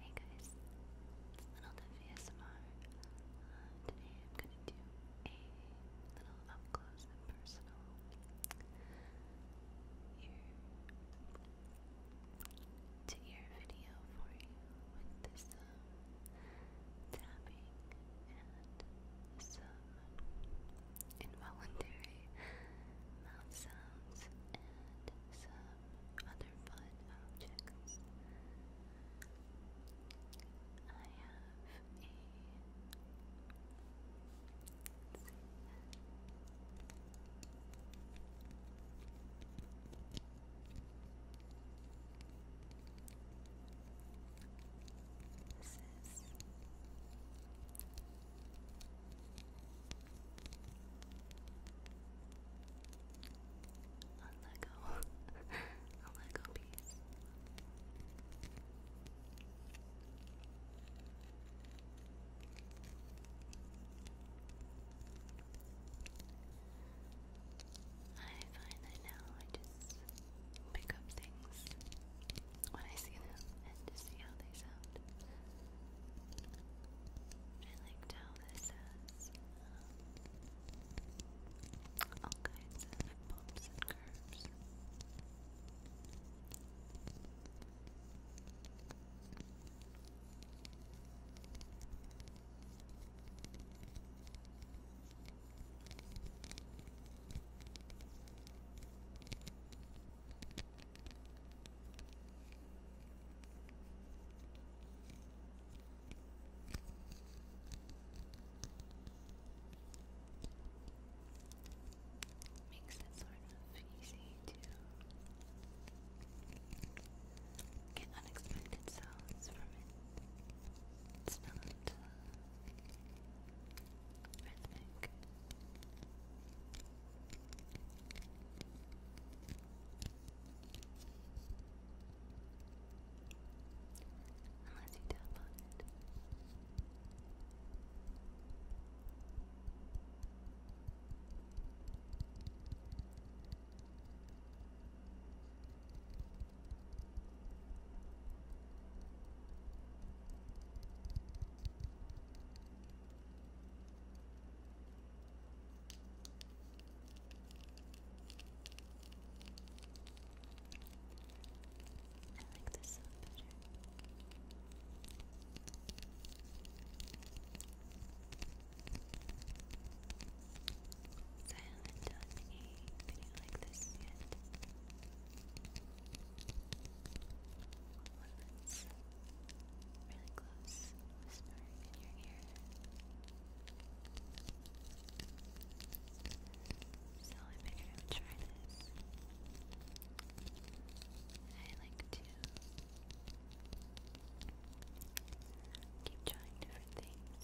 Hey guys, it's Little Dove ASMR. Uh, today I'm going to do a little up close and personal ear to your video for you with some tapping and some involuntary mouth sounds and some other fun objects. I have a this is a Lego, a Lego piece. I find that now I just pick up things when I see them and just see how they sound. I liked how this has um, all kinds of bumps and curves. Makes it sort of easy to Get unexpected sounds from it. It's not rhythmic. Unless you tap on it. I like this sound better. So I haven't done a video like this yet. really close, whispering in your ear. So I figured I would try this. I like to keep trying different things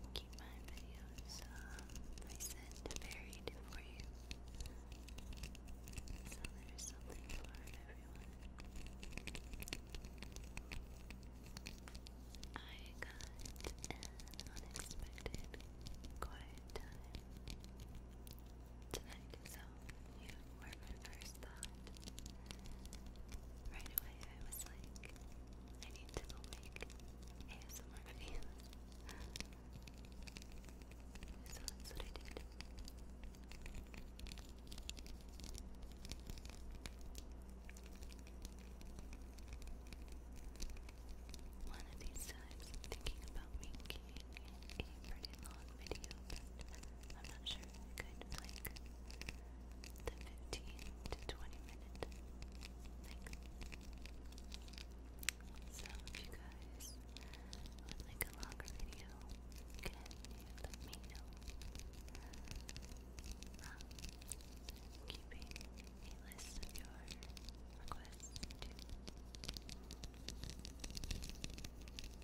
and keep my videos um, recent and for you so there's something for everyone I got unexpected quiet tonight so you were my first thought. Right away, I was like, I need to go make ASMR videos. so that's what I did. One of these times, thinking about making a pretty long video, I'm not sure if I could like the 15 to 20 minute thing. So you guys would like a longer video, can you let me know? Um, keeping a list of your requests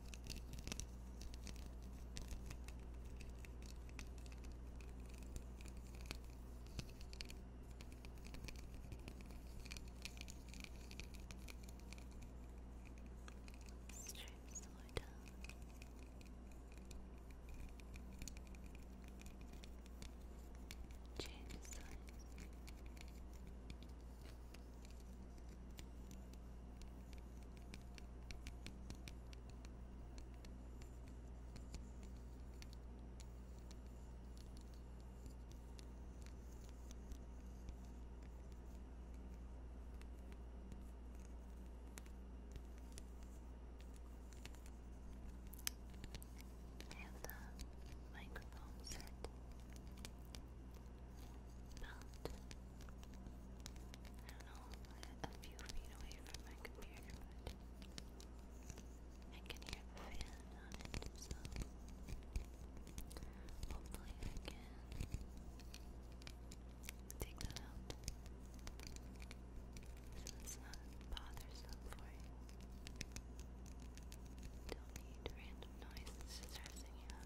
Strips were done. Change size. I have the microphone set about, I don't know, a, few feet away from my computer, but I can hear the fan on it, so hopefully I can take that out so it's not bothersome for you. Don't need random noises stressing you out.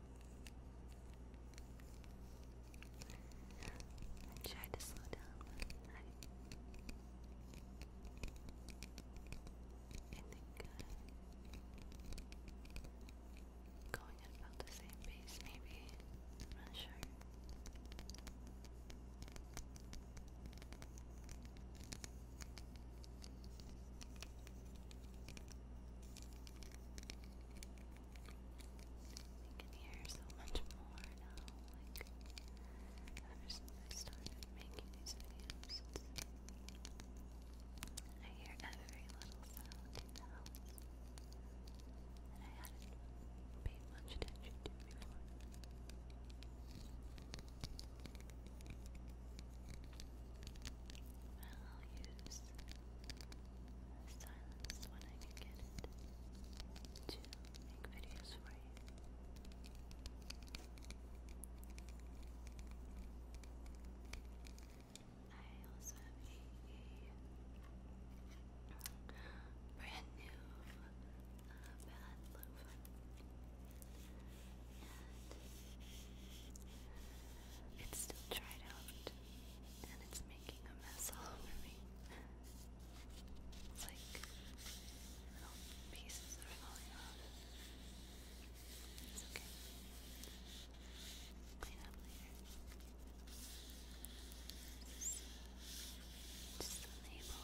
I tried to slow down, but I, think uh, going at about the same pace, maybe. I'm not sure. I can hear so much more now, like, ever since I started making these videos, I hear every little sound in and I hadn't paid much attention to before. And I'll use silence when I can get it to make videos for you. I also have a, brand new uh, loofah. It's still dried out and it's making a mess all over me. It's like pieces are falling off. It's okay. Clean up later. Uh, just the label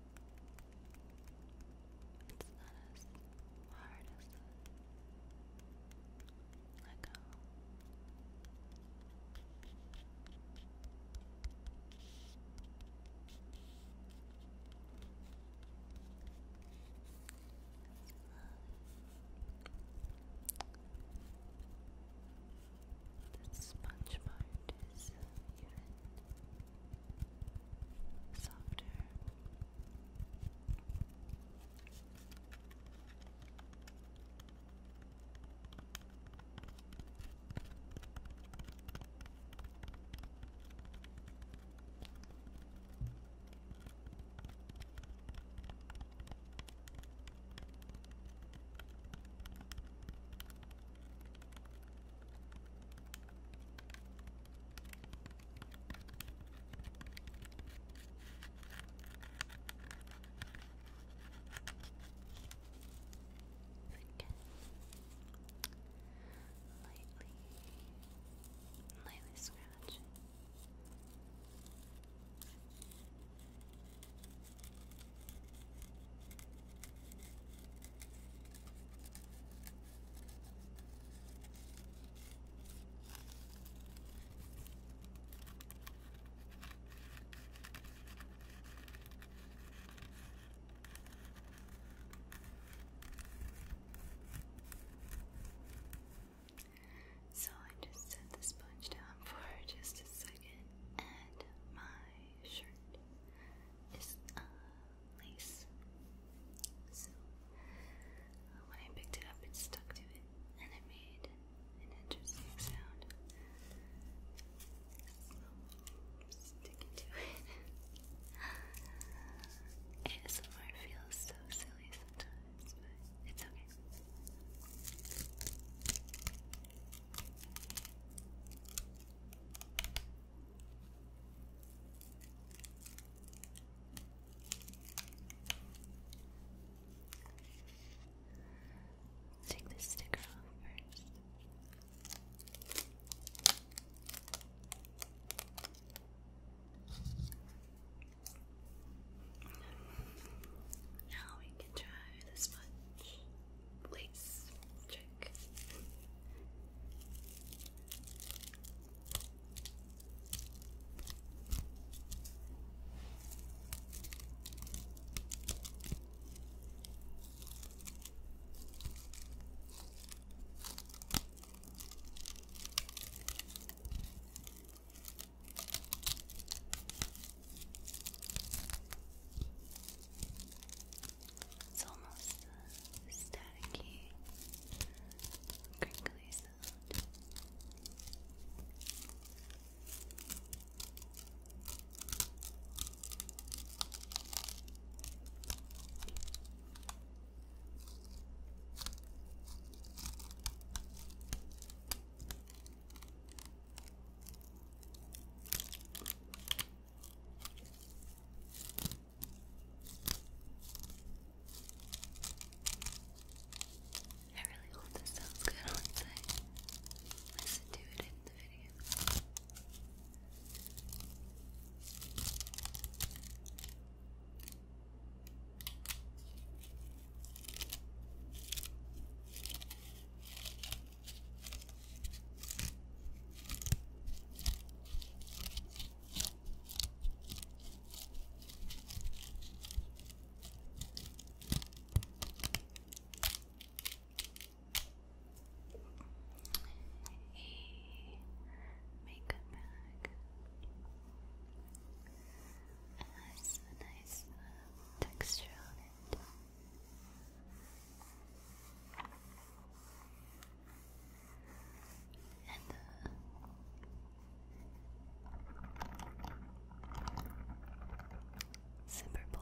It's not as hard as the Lego. This sponge it is even softer. Again. Lightly, lightly scratch. So I just set the sponge down for just a second, and my shirt is uh, lace. So uh, when I picked it up, it stuck to it and it made an interesting sound. So stick it to it. ASMR feels so silly sometimes, but it's okay. Take this sticker off first. Now we can try the sponge. Please, check. It's almost uh, staticky, crinkly I really hope this sounds good once I listen to it in the video. A makeup bag has a nice uh, texture on it. And uh, Super Bowl.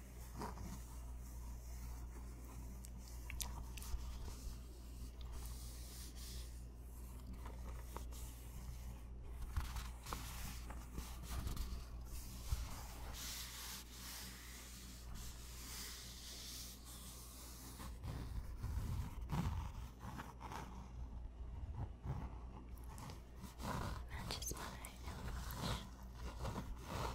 Matches my nail polish.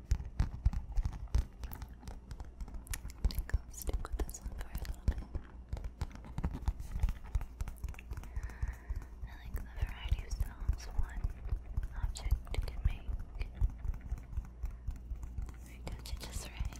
I think stick with this one for a little bit. I like the variety of sounds one object can make. I touch just right.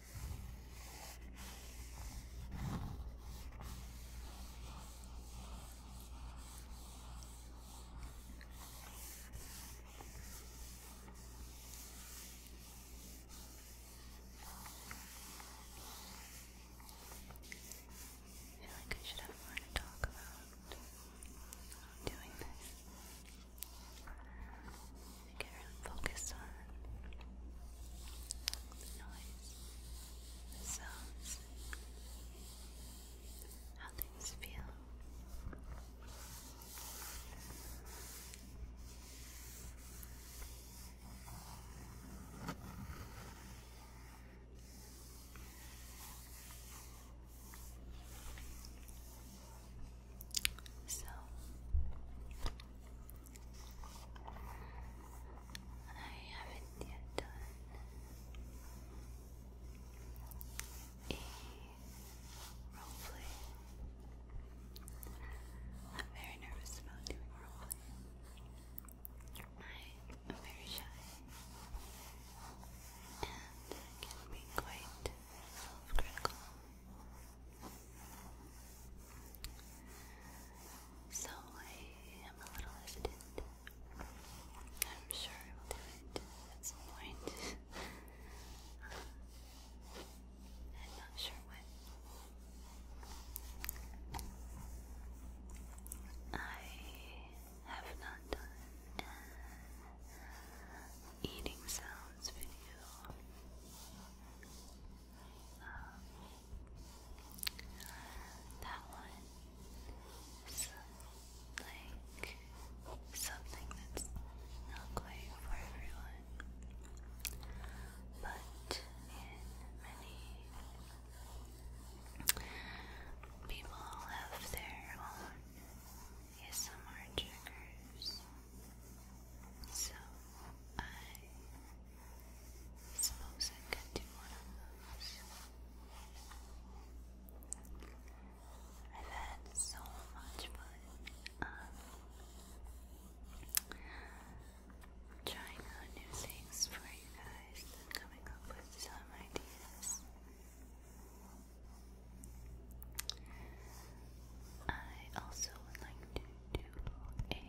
I feel like I should have more to talk about doing this. You really focus on the noise, the sounds, how things feel. So, I haven't yet done roleplay. I'm very nervous about doing roleplay. I'm very shy and can be quite self-critical. So I am a little hesitant. I'm sure I will at some point. I'm not sure when. I have not done eating sounds video. That one is like something that's not quite for everyone, but many people have their own ASMR triggers. So I Suppose I could do one of those. I've had so much fun trying out new things for you guys coming up with some ideas. I also would like to do a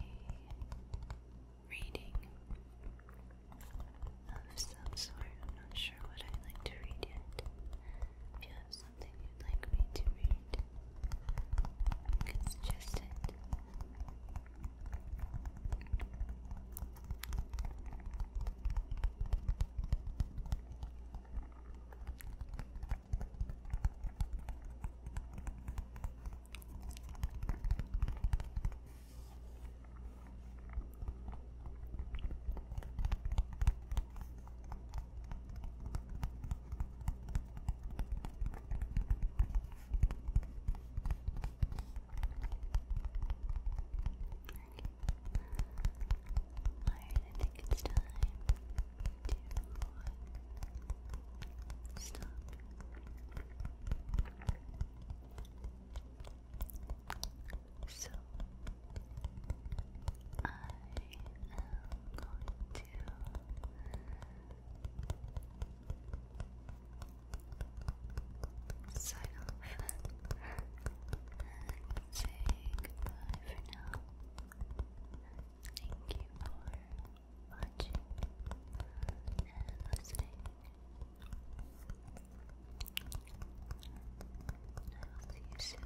reading of some sort. I'm not sure what I'd like to read yet. If you have something you'd like me to read, you can suggest it. Alright, I think it's time so, I am going to say goodbye for now. Thank you for watching and listening. I will see you soon.